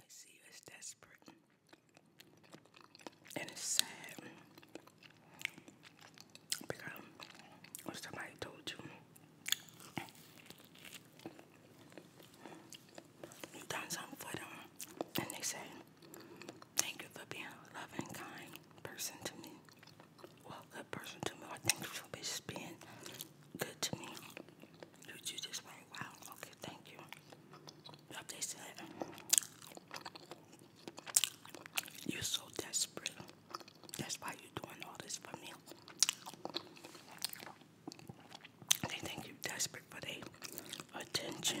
I see you as desperate. And it's sad. Because when somebody told you you done something for them, and they say, Thank you for being a loving, kind person to me. Well, good person to me. Or thank you for being good to me. You, just went, wow, okay, thank you. they said, you're so desperate. That's why you're doing all this for me. They think you're desperate for their attention.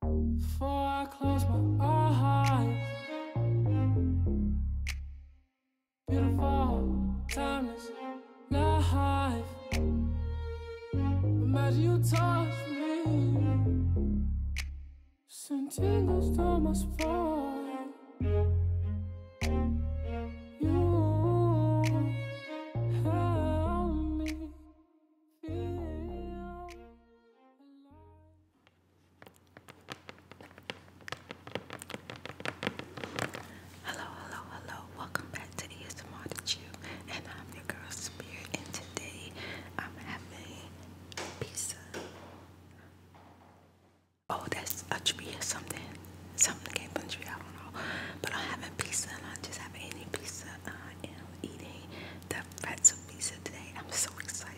Before I close my eyes Beautiful, timeless life Imagine you touch me Send tingles down my spine You help me Hello, hello, hello. Welcome back to ASMR The Chew. And I'm your girl Spirit. And today I'm having pizza. Oh, that's a tree or something. Something that came from tree, I don't know. But I'm having pizza and I just have any pizza. I am eating the pretzel pizza today. I'm so excited.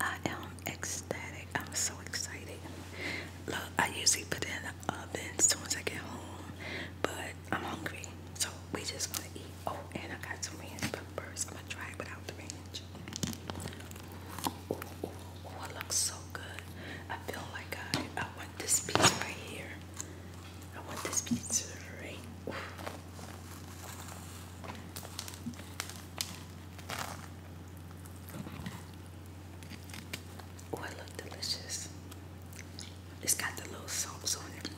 I am ecstatic. I'm so excited. Look, I usually put it in the oven as soon as I get home, but I'm hungry, so we just gonna eat. Oh, and I got some ranch peppers. I'm gonna try it without the ranch. Oh, it looks so good. I feel like I, want this piece right here. I want this piece right. Ooh. Oh, it looks delicious. It's got the little soaps on it,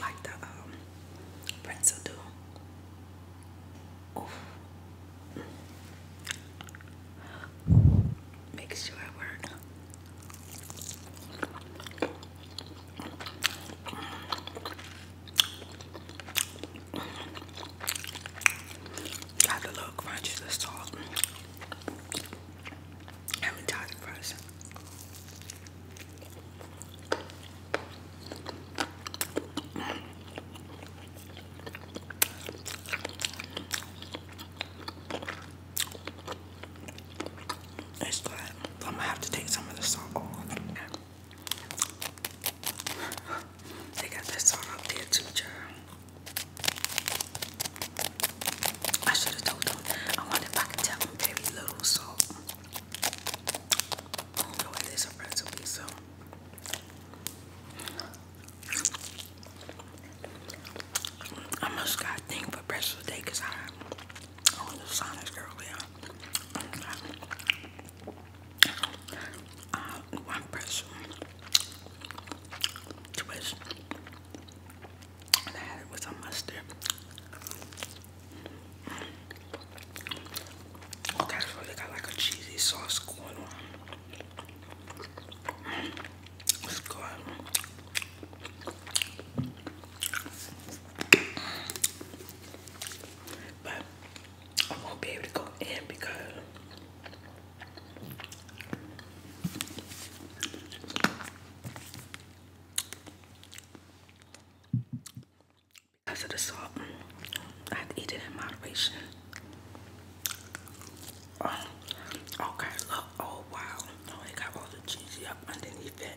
like the um, pretzel do. Oh. Make sure at work. Got a little crunch to salt. I'm a tired it's good. I'm gonna have to take some of the salt off. they got this salt up there too, child. I should have told them. I wonder if I could tell them very little salt. I don't know it is a recipe, so I must got a thing for breakfast today because I I went to Sonics earlier. Uh, one pretzel, twist, and I had it with a mustard. Okay, so they got like a cheesy sauce going on. It's good. But I won't be able to go in because because of the salt, I have to eat it in moderation. Oh, okay, look. Oh, wow. No, oh, it got all the cheesy up underneath it.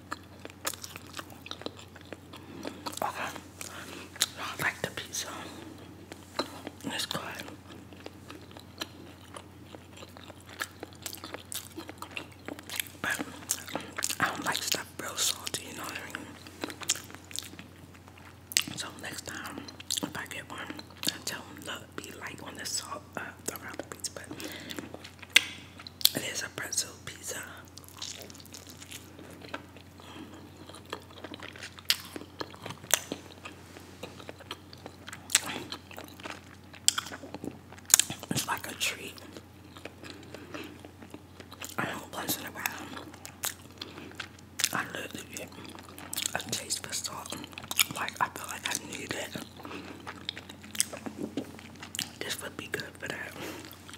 Okay. No, I like the pizza. It's good. But I don't like stuff real salty, you know what So next time if I get one, I tell them look, be like on the salt uh, around the pizza, but it is a pretzel pizza. It's like a treat. I don't place it around. I literally get a taste for salt. Like I feel like I need it. This would be good for that.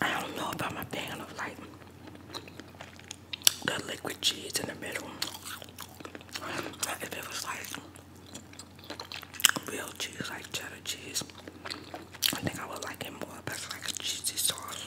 I don't know about my pan of like the liquid cheese in the middle. If it was like real cheese, like cheddar cheese, I think I would like it more. But it's like a cheesy sauce.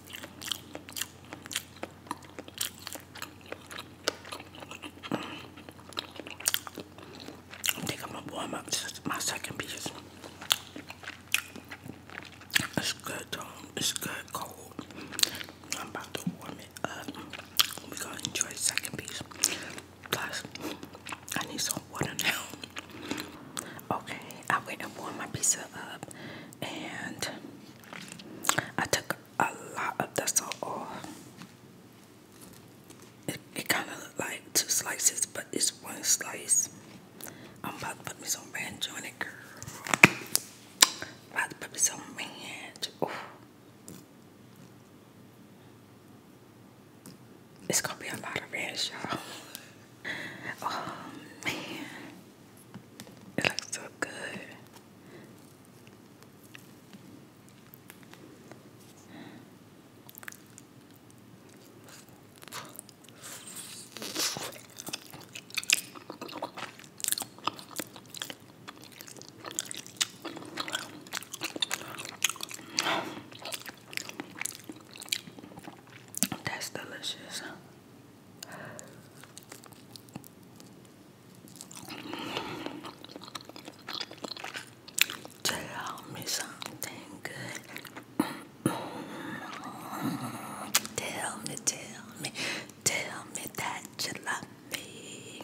I think I'm gonna warm up my second piece. It's good though. Um, it's good cold. I'm about to warm it up. We're gonna enjoy the second piece. Plus, I need some water now. Okay, I went and warmed my pizza up and I took a lot of the salt off. It, it kind of looked like two slices, but it's one slice. I'm about to put me some ranch on it, girl. about to put me some ranch. It's gonna be a lot of ranch, y'all. Oh man, it looks so good. That's delicious. Tell me something good. tell me, tell me, tell me that you love me.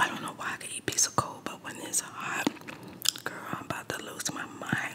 I don't know why I can eat pizza cold, but when it's hot, girl, I'm about to lose my mind.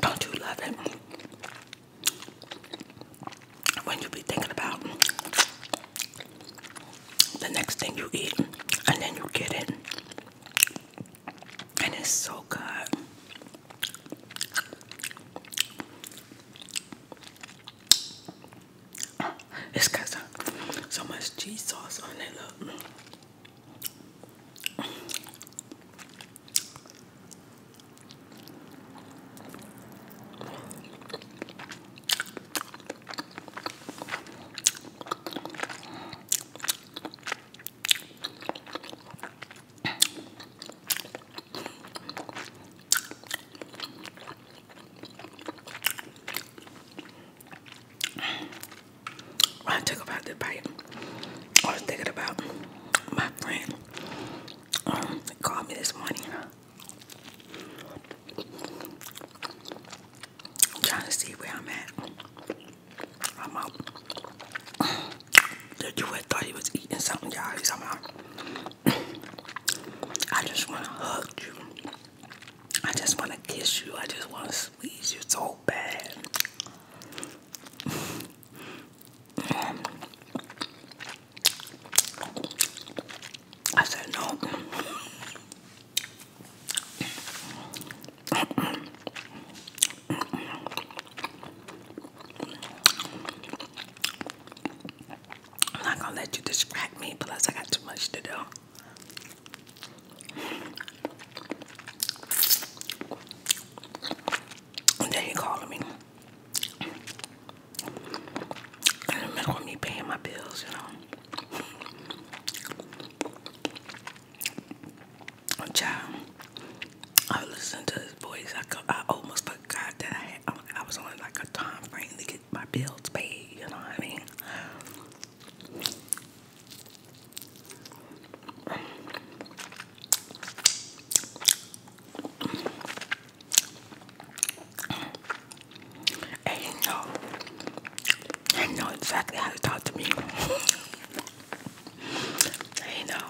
Don't you love it when you be thinking about the next thing you eat and then you get it? and it's so good. it's got so, so much cheese sauce on it. Look. I took about the bite, I was thinking about my friend um, called me this morning. I'm trying to see where I'm at. I'm out. The duet thought he was eating something, y'all. He's out. I just want to hug you. I just want to kiss you. I just want to squeeze you so bad. I said no. I'm not gonna let you distract me, plus I got too much to do. then he calling me. In the middle of me paying my bills, you know. Child, I listened to his voice. I, could, I almost forgot that I had, um, I was on like a time frame to get my bills paid. You know what I mean? And you know, I know exactly how to talk to me. I know.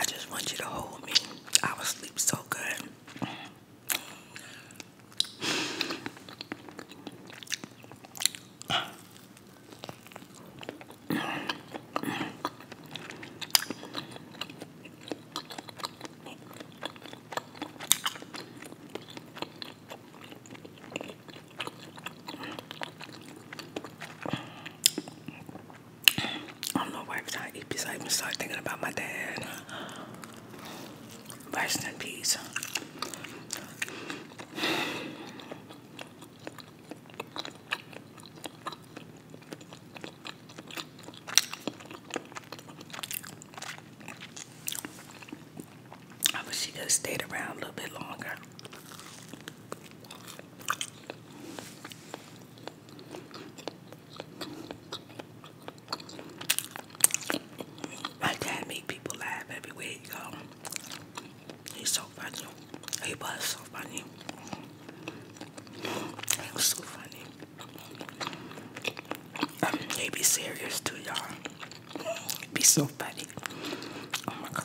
I just want you to hold me. I was sleep so good i do not know why every time I eat pizza, I even start thinking about my dad. Rest in peace. I wish she could stayed around a little bit longer. My dad made people laugh everywhere he go. He's so funny. He was so funny. He was so funny. Um, they be serious too, y'all. Be so funny. Oh my god.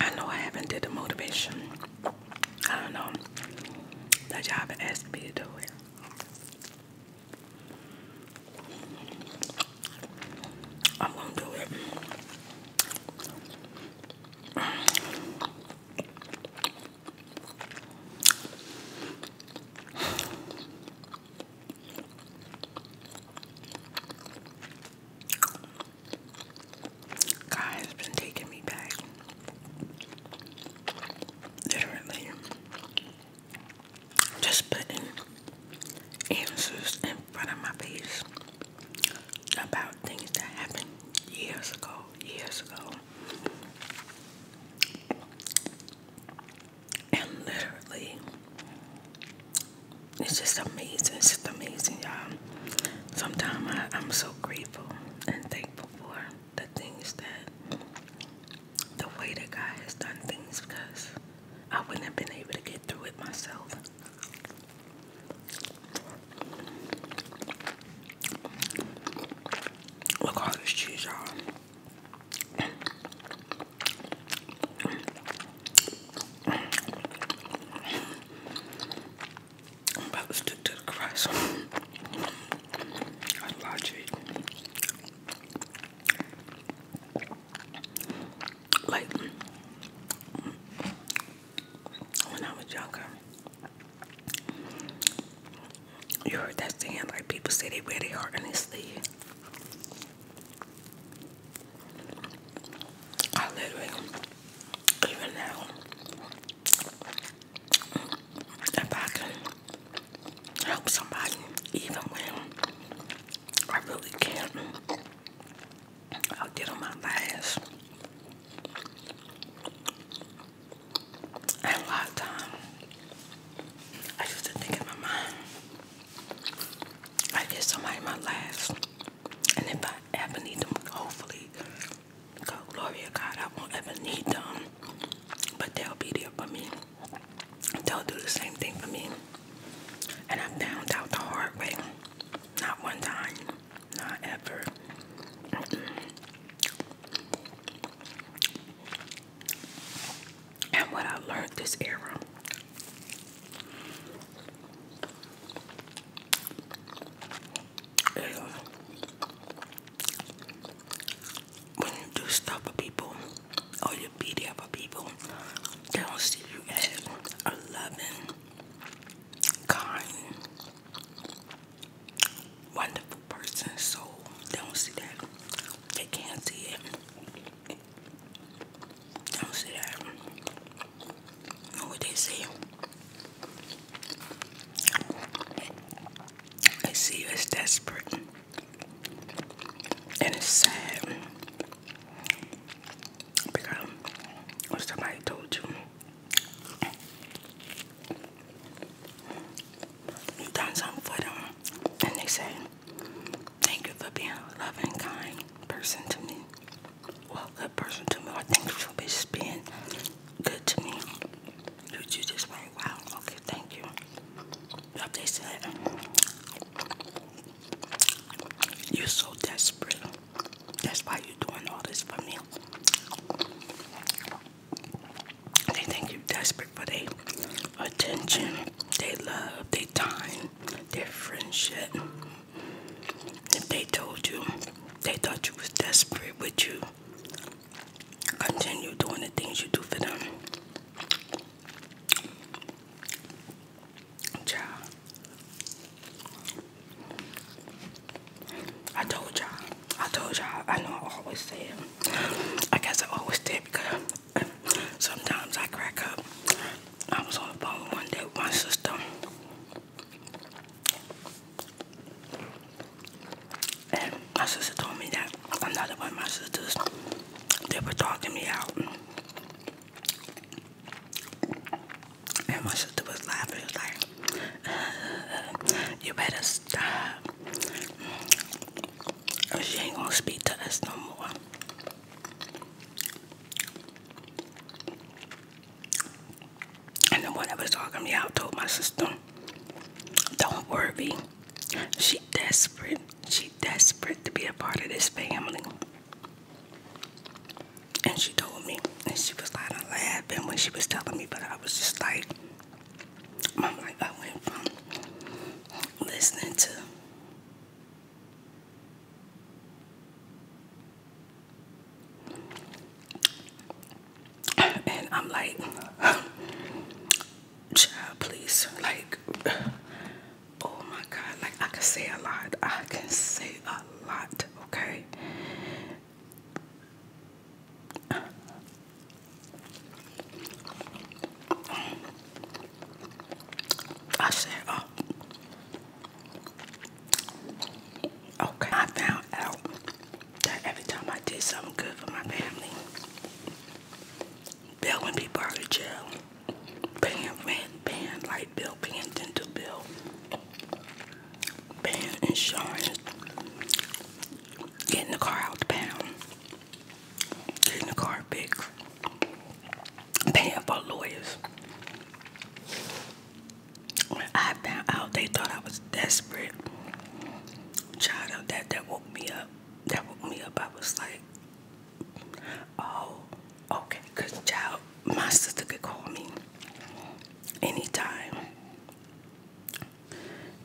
I know I haven't did the motivation. I don't know. That job all have asked me to do it. I'm gonna do it. God has been taking me back. Literally. Just putting answers in front of my face about things that happened years ago, years ago and literally it's just amazing it's just amazing y'all sometimes I, i'm so grateful and thankful for the things that the way that god has done things because i wouldn't have been able to get through it myself look how this cheese y'all I'm about to stick to the crust. I logic. Like when I was younger, you heard that saying like people say they wear their heart on their sleeve. I literally, even now, if I can help somebody, even when I really can't, I'll get on my last. And a I used to think in my mind, I get somebody my last, and if I ever need them, hopefully, God, glory God, I won't ever need them, but they'll be there for me. They'll do the same thing for me. And I found out the hard way. Not one time, not ever and what I learned this era. when you do stuff for people or you be there for people, they don't see you as a loving, kind, wonderful person. So they don't see that. They can't see it. I don't see that. Know what they say? see you as desperate, and it's sad because somebody told you you done something and they say. Thank you for being a loving, kind person to me. Well, good person to me. I think you for just being good to me. You, you just went, wow, okay, thank you. But they said, you're so desperate. That's why you're doing all this for me. They think you're desperate for their attention, they love, their time, their friendship. If they told you they thought you was desperate with you, continue doing the things you do for them. Child. I told y'all. I told y'all. I know I always say it. I guess I always did sometimes I crack up. I was on the phone one day with my sister. And my sister told me that another one of my sisters, they were talking me out. And my sister was laughing. She was like, uh, uh, uh, you better stop. She ain't gonna speak to us no more. And the one that was talking me out told my sister, don't worry. She desperate. She desperate to be a part of this family. And she told me, and she was kind of laughing when she was telling me, but I was just like, I'm like, I went from listening to and I'm like, child, please, like, oh my God, like I can say a lot. I can say a lot, okay? I said, oh. Okay, I found out that every time I did something good for my family, Bill when be out of jail, Ban, ban, paying light bill, ban dental bill, paying insurance, getting the car out the pound, Getting the car fixed. Paying for lawyers. When I found out, they thought I was desperate. Child, that that woke me up. That woke me up. I was like, oh, okay. Cause child, my sister could call me anytime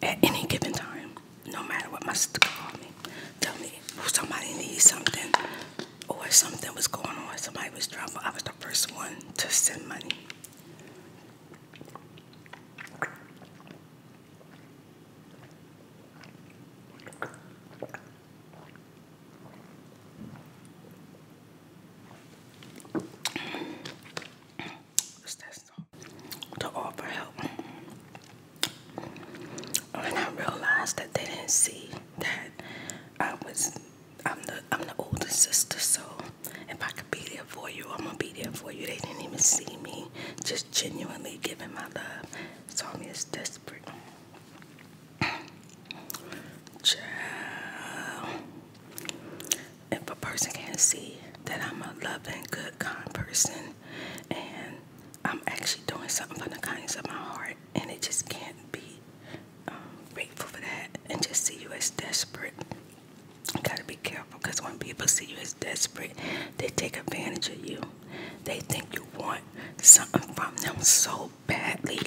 at any given time, no matter what my sister called me, tell me somebody needs something or something was going on, somebody was dropping, I was the first one to send money. What's that to offer help. And I realized that they didn't see that I was I'm the I'm the older sister, so if I could be there for you, I'm gonna be there for you. They didn't even see me just genuinely giving my love. Saw me as desperate. Child if a person can't see that I'm a loving, good, kind person and I'm actually doing something from the kindness of my heart, and it just can't be um, grateful for that and just see you as desperate. You gotta be careful because when people see you as desperate, they take advantage of you. They think you want something from them so badly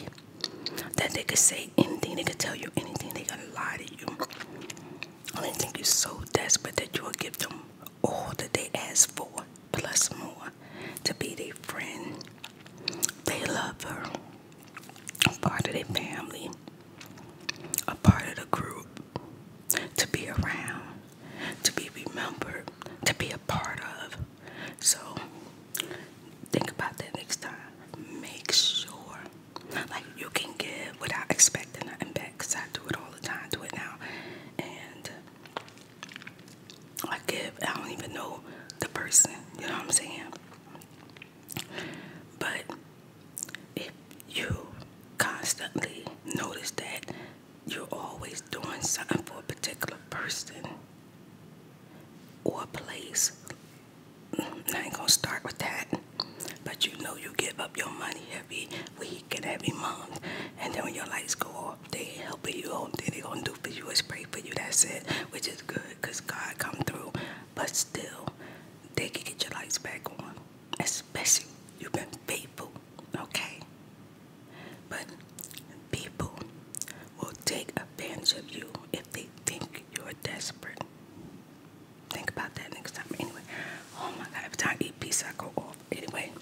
that they could say anything, they could tell you anything, they gonna lie to you. I oh, only think you're so desperate that you will give them all that they ask for, plus more, to be their friend. They love her, a part of their family, a part of the group, to be around, to be remembered, to be a part of. So, think about that next time. Make sure like you can give without expecting nothing back, cause I do it all the time. do it now, and I give. I don't even know the person. You know what I'm saying? But if you constantly notice that you're always doing something for a particular person or place I ain't gonna start with that. But you know you give up your money every week and every month. And then when your lights go off, they helping you. All thing they gonna do for you is pray for you. That's it. Which is good because God come through. But still, they can get your lights back on. Especially you've been faithful. Okay? But people will take advantage of you if they think you're desperate. Think about that next time. Anyway, oh my god, every time I eat pizza, I go off. Anyway,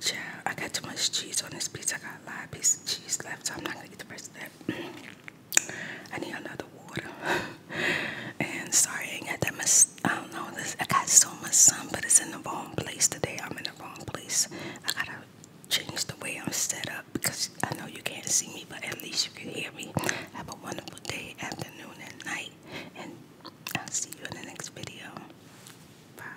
child, I got too much cheese on this pizza. I got a lot of piece cheese left, so I'm not gonna eat the rest of that. I need another water. and sorry, I got that much. I don't know. This, I got so much sun, but it's in the wrong place today. I'm in the wrong place. I gotta change the way I'm set up because I know you can't see me, but at least you can hear me. Have a wonderful day after afternoon, and night. And I'll see you in the next video. Bye.